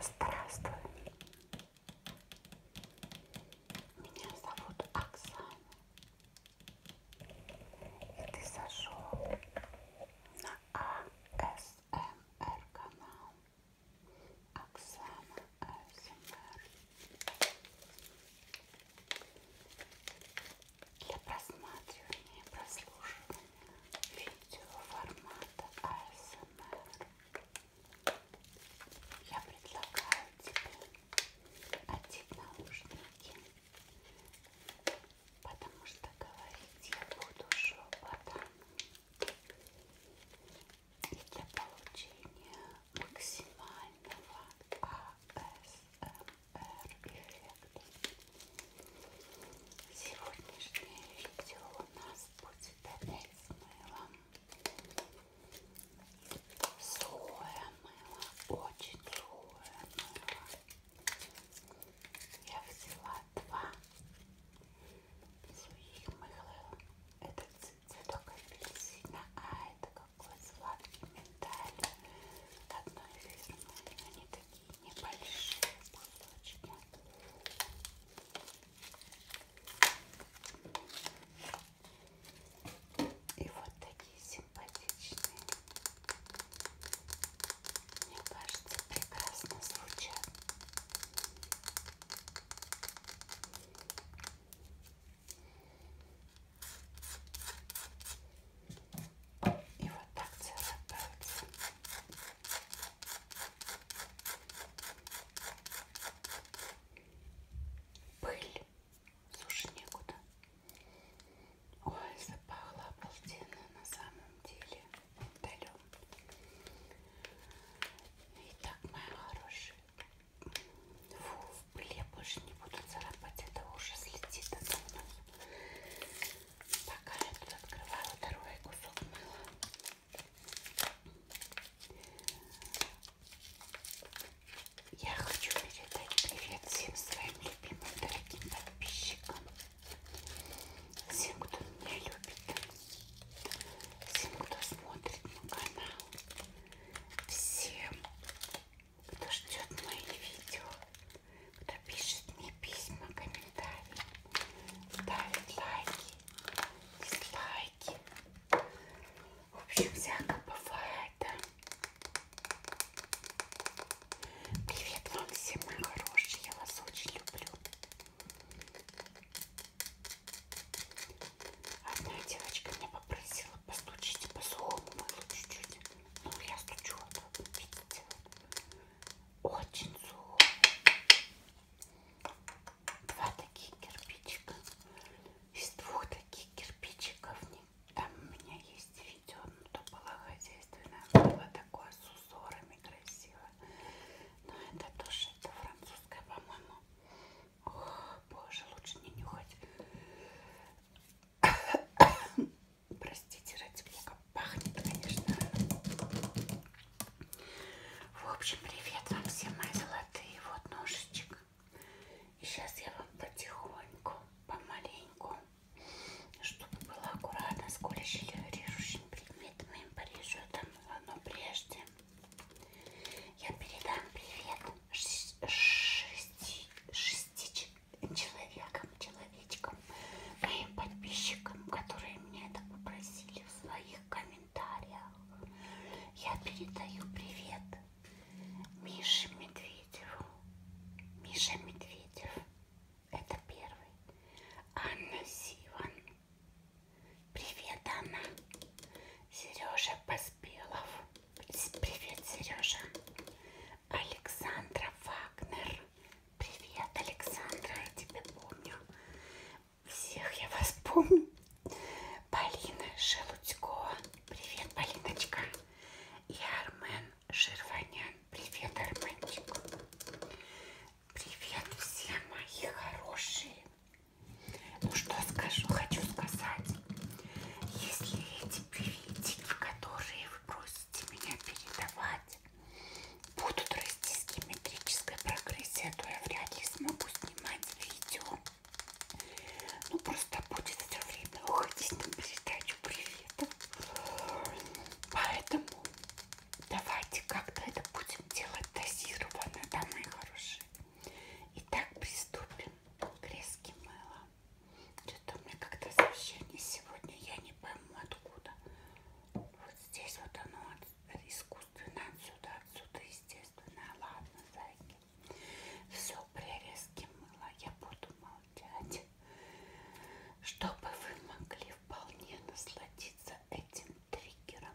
Здравствуй. Меня зовут Оксана. И ты зашел на АСМР канал. Оксана АСМР для просматривания и прослушивания видео формата ASMR. А я предлагаю тебе одеть наушники, потому что говорить я буду шепотом. И для получения максимального АСМР Эффект. Сегодняшнее видео у нас будет опять с мылом. Сухое мыло, очень сухое мыло. Я взяла два сухих мыла. Это цветок апельсина, а это какой сладкий миндаль одной фирмы. Они такие небольшие кусочки. И вот такие симпатичные. Мне кажется, прекрасно звучат. И вот так царапаются. Пыль. Слушай, некуда. Ой, запахло обалденно на самом деле. Далек. Итак, мои хорошие. Фу, пыль я больше не буду царапать, это уже слетит от нас. Пока я тут открываю второй кусок мыла. Я хочу передать привет всем своим любимым дорогим подписчикам, всем, кто меня любит, всем, кто смотрит мой канал, всем, кто ждет мои видео, кто пишет мне письма, комментарии, ставит лайки, дизлайки. В общем, всяко бывает, да? Привет вам всем, мои хорошие, я вас очень люблю. Одна девочка меня попросила постучить по сумму чуть-чуть. Ну, я стучу, видите? Очень сухо. Два таких кирпичика. Из двух таких кирпичиков там у меня есть видео, но ну, то было хозяйственное, было такое с узорами красиво. Но это тоже это французская, по-моему. Боже, лучше не нюхать. Простите, ради бога, пахнет, конечно. В общем, привет вам все мои золотые. Вот ножичек. И сейчас я вам потихоньку, помаленьку, чтобы было аккуратно, с режущим предметом им порежу там, но прежде я передам привет шести, шести, человеком, человечком, моим подписчикам, которые меня это попросили в своих комментариях. Я передаю привет Мише Медведеву. Миша Медведев, это первый. Анна Сиван. Привет, Анна. Сережа Поспелов. Привет, Сережа. Александра Вагнер. Привет, Александра, я тебя помню. Всех я вас помню. Полина Шелудько. Привет, Полиночка. И Армен Ширванян. Привет, Арменчик. Привет все мои хорошие. Ну что скажу, хочу сказать если эти приветики, которые вы просите меня передавать, будут расти с геометрической прогрессией, а то я вряд ли смогу снимать видео. Ну, просто будет все время уходить на передачу приветов. Поэтому давайте как-то это будем делать дозированно, да, мои хорошие. Итак, приступим к резке мыла. Что-то у меня как-то сообщение сегодня, я не пойму откуда. Вот здесь вот оно искусственно, отсюда, отсюда, естественно. Ладно, зайки. Все, прирезки мыла я буду молчать, чтобы вы могли вполне насладиться этим триггером.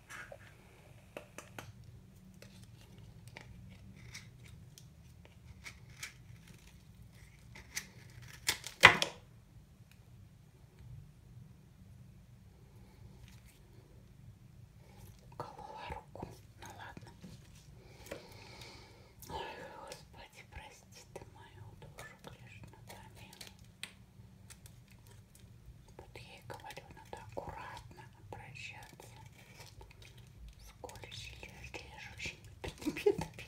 Уколола руку. Ну ладно. Ой, Господи, прости ты мою душу, Кришна, Тамил. Вот я и говорю, надо аккуратно обращаться с колющими, режущими предметами.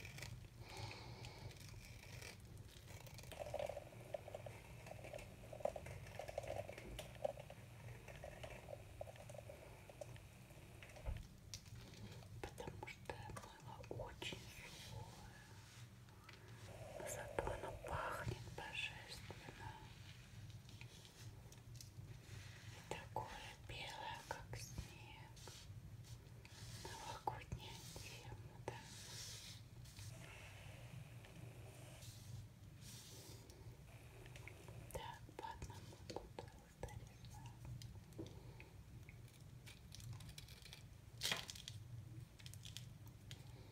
Потому что мыло очень сухое, Зато оно пахнет божественно. И такое белое, как снег. Новогодняя тема, да? Так, по одному буду старина. Ой,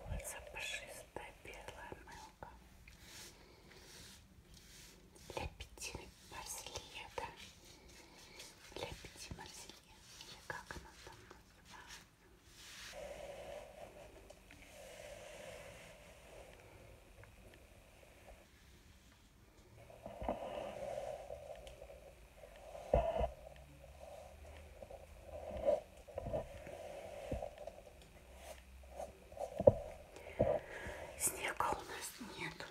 Улица пушистая белая мелка. Для пяти марселье, да? Для пяти марселье. Или как она там называется? Снега у нас нет.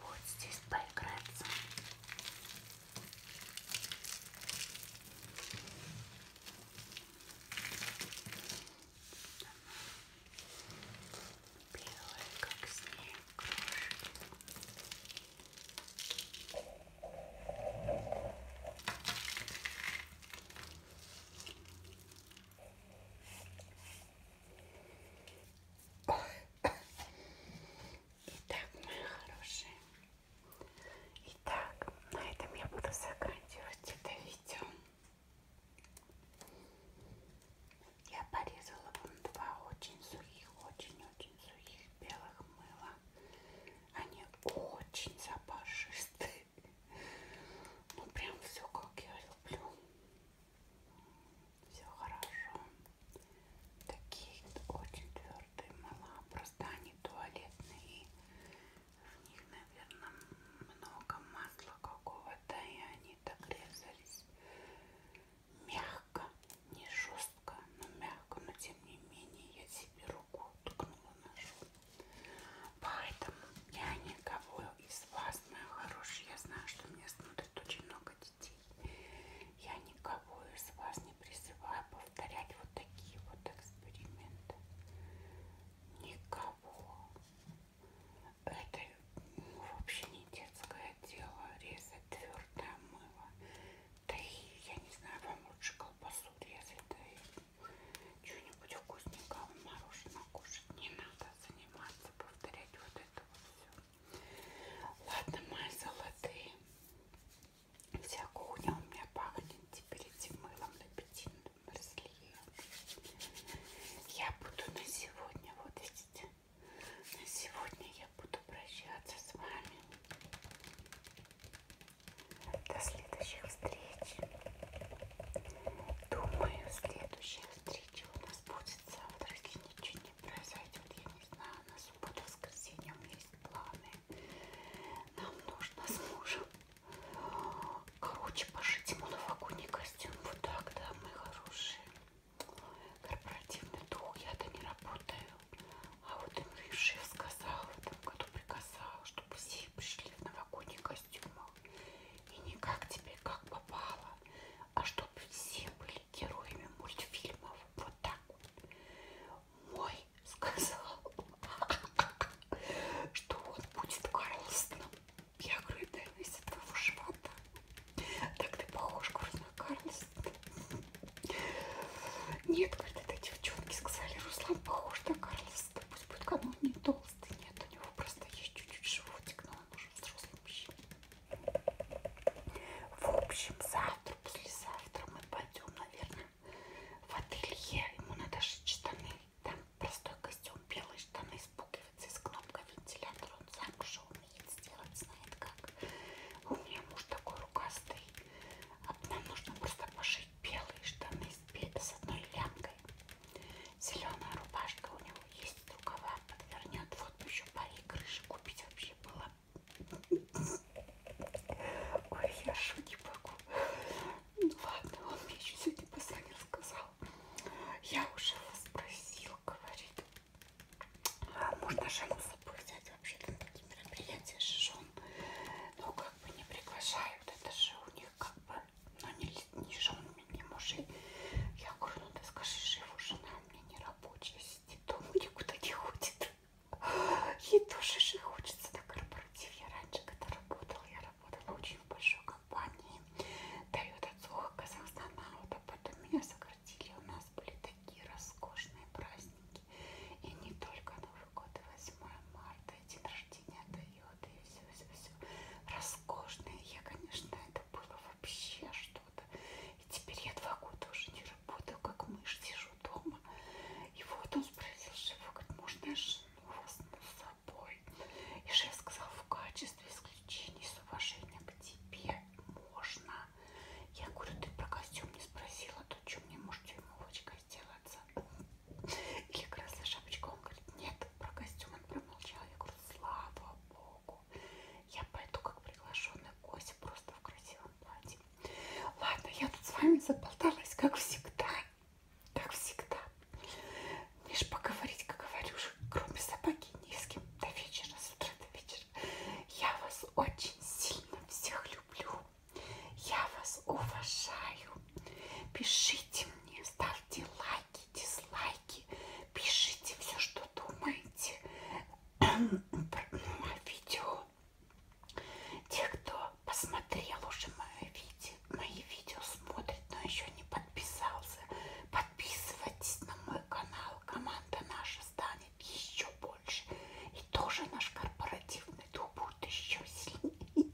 Вот здесь поиграться. Белая, как снег, крошки. Итак, мои хорошие, итак, на этом я буду заканчивать это видео. Я порезала вам два очень сухих, очень-очень сухих белых мыла. Они очень запашистые. Ну прям все как я люблю. Все хорошо. Такие очень твердые мыла. Просто они туалетные. В них, наверное, много масла какого-то. И они так резались мягко, не жестко, но мягко, но тем не менее я себе руку ткнула ножом. Поэтому я никого из вас, моя хорошая, я знаю, что меня смотрит очень много детей. Я никого из вас не призываю повторять вот такие вот эксперименты. Никого. Это ну, вообще не детское дело резать твердое мыло. Да и, я не знаю, вам лучше колбасу резать, да и что-нибудь вкусненького мороженого кушать. Не надо заниматься, повторять вот это вот все. Ладно, мои золотые. Вся кухня у меня пахнет теперь этим мылом лепетиным. Я буду на сегодня, вот видите, на сегодня я буду прощаться с вами. До следующих встреч. Думаю, следующая встреча у нас будет завтра, если ничего не произойдет. Я не знаю, на субботу, воскресенье у меня есть планы. Нам нужно с мужем, короче, пошить ему новогодний костюм. Вот так, да, мы хорошие корпоративный дух, я-то не работаю. А вот им шеф сказал в этом году приказал, чтобы все пришли в новогодний костюмах. И не как тебе как попало, а чтобы все были героями мультфильмов. Вот так вот. Мой сказал, что он будет Карлстоном. Я говорю, да, из этого живота. Так ты похож, Курсна Карлос. Нет, говорит, это девчонки сказали, Руслан похож на Карлос. Да пусть будет, кому не толстый. Нет, у него просто есть чуть-чуть животик, но он уже взрослый мужчина. В общем, завтра, послезавтра мы пойдем, наверное, в ателье. Ему надо шить штаны. Там простой костюм, белые штаны с пуговицей, с кнопкой вентилятора. Он сам шел умеет сделать, знает как. У меня муж такой рукастый. А нам нужно просто пошить белые штаны с одной лямкой. Зеленая рубашка у него есть, рукава подвернет. Вот бы еще парик крыши купить вообще было. Ой, я шутить не могу. Ну ладно, он мне еще сегодня позвонил, сказал. Я уже вас просил, говорит, а можно жену запустить вообще-то на такие мероприятия жен, но ну, как бы не приглашают, это же у них как бы, ну не, не женами, не мужей. Я говорю, ну ты скажи, что его жена у меня не рабочая, сидит дома, никуда не ходит. Ей тоже же хочется на корпоратив. Я раньше когда работала, я работала очень в большой компании. Дает от слуха Казахстана, а вот а потом меня согласились квартире у нас были такие роскошные праздники. И не только Новый год, и 8 марта, и день рождения Тойоты, и все-все-все. Роскошные. Я, конечно, это было вообще что-то. И теперь я два года уже не работаю, как мышь, сижу дома. И вот он спросил шефа, говорит, можно я жену вас с собой? И шеф сказал, в качестве исключения, с уважением к тебе можно. Я говорю, ты про костюм не спросила, то что мне может тюрьмовочка сделаться? Или красная шапочка? Он говорит, нет, про костюм он промолчал. Я говорю, слава богу. Я пойду как приглашенный гость просто в красивом платье. Ладно, я тут с вами заболталась, как всегда. Как всегда. Лишь поговорить, как говорю, кроме собаки ни с кем до вечера, с утра до вечера. Я вас очень сильно всех люблю. Я вас уважаю. Пишите мне, ставьте лайки, дизлайки. Пишите все, что думаете о видео. Те, кто посмотрел уже мои видео, мои видео смотрит, но еще не подписался, подписывайтесь на мой канал команда наша станет еще больше. И тоже наш корпоративный дух будет еще сильнее.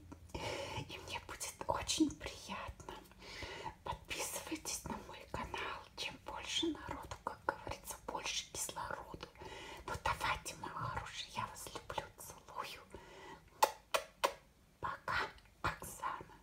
И мне будет очень приятно. Подписывайтесь на мой канал. Чем больше народу, как говорится, больше кислорода. Ну давайте, мои хорошие, я вас люблю, целую. Пока, Оксана.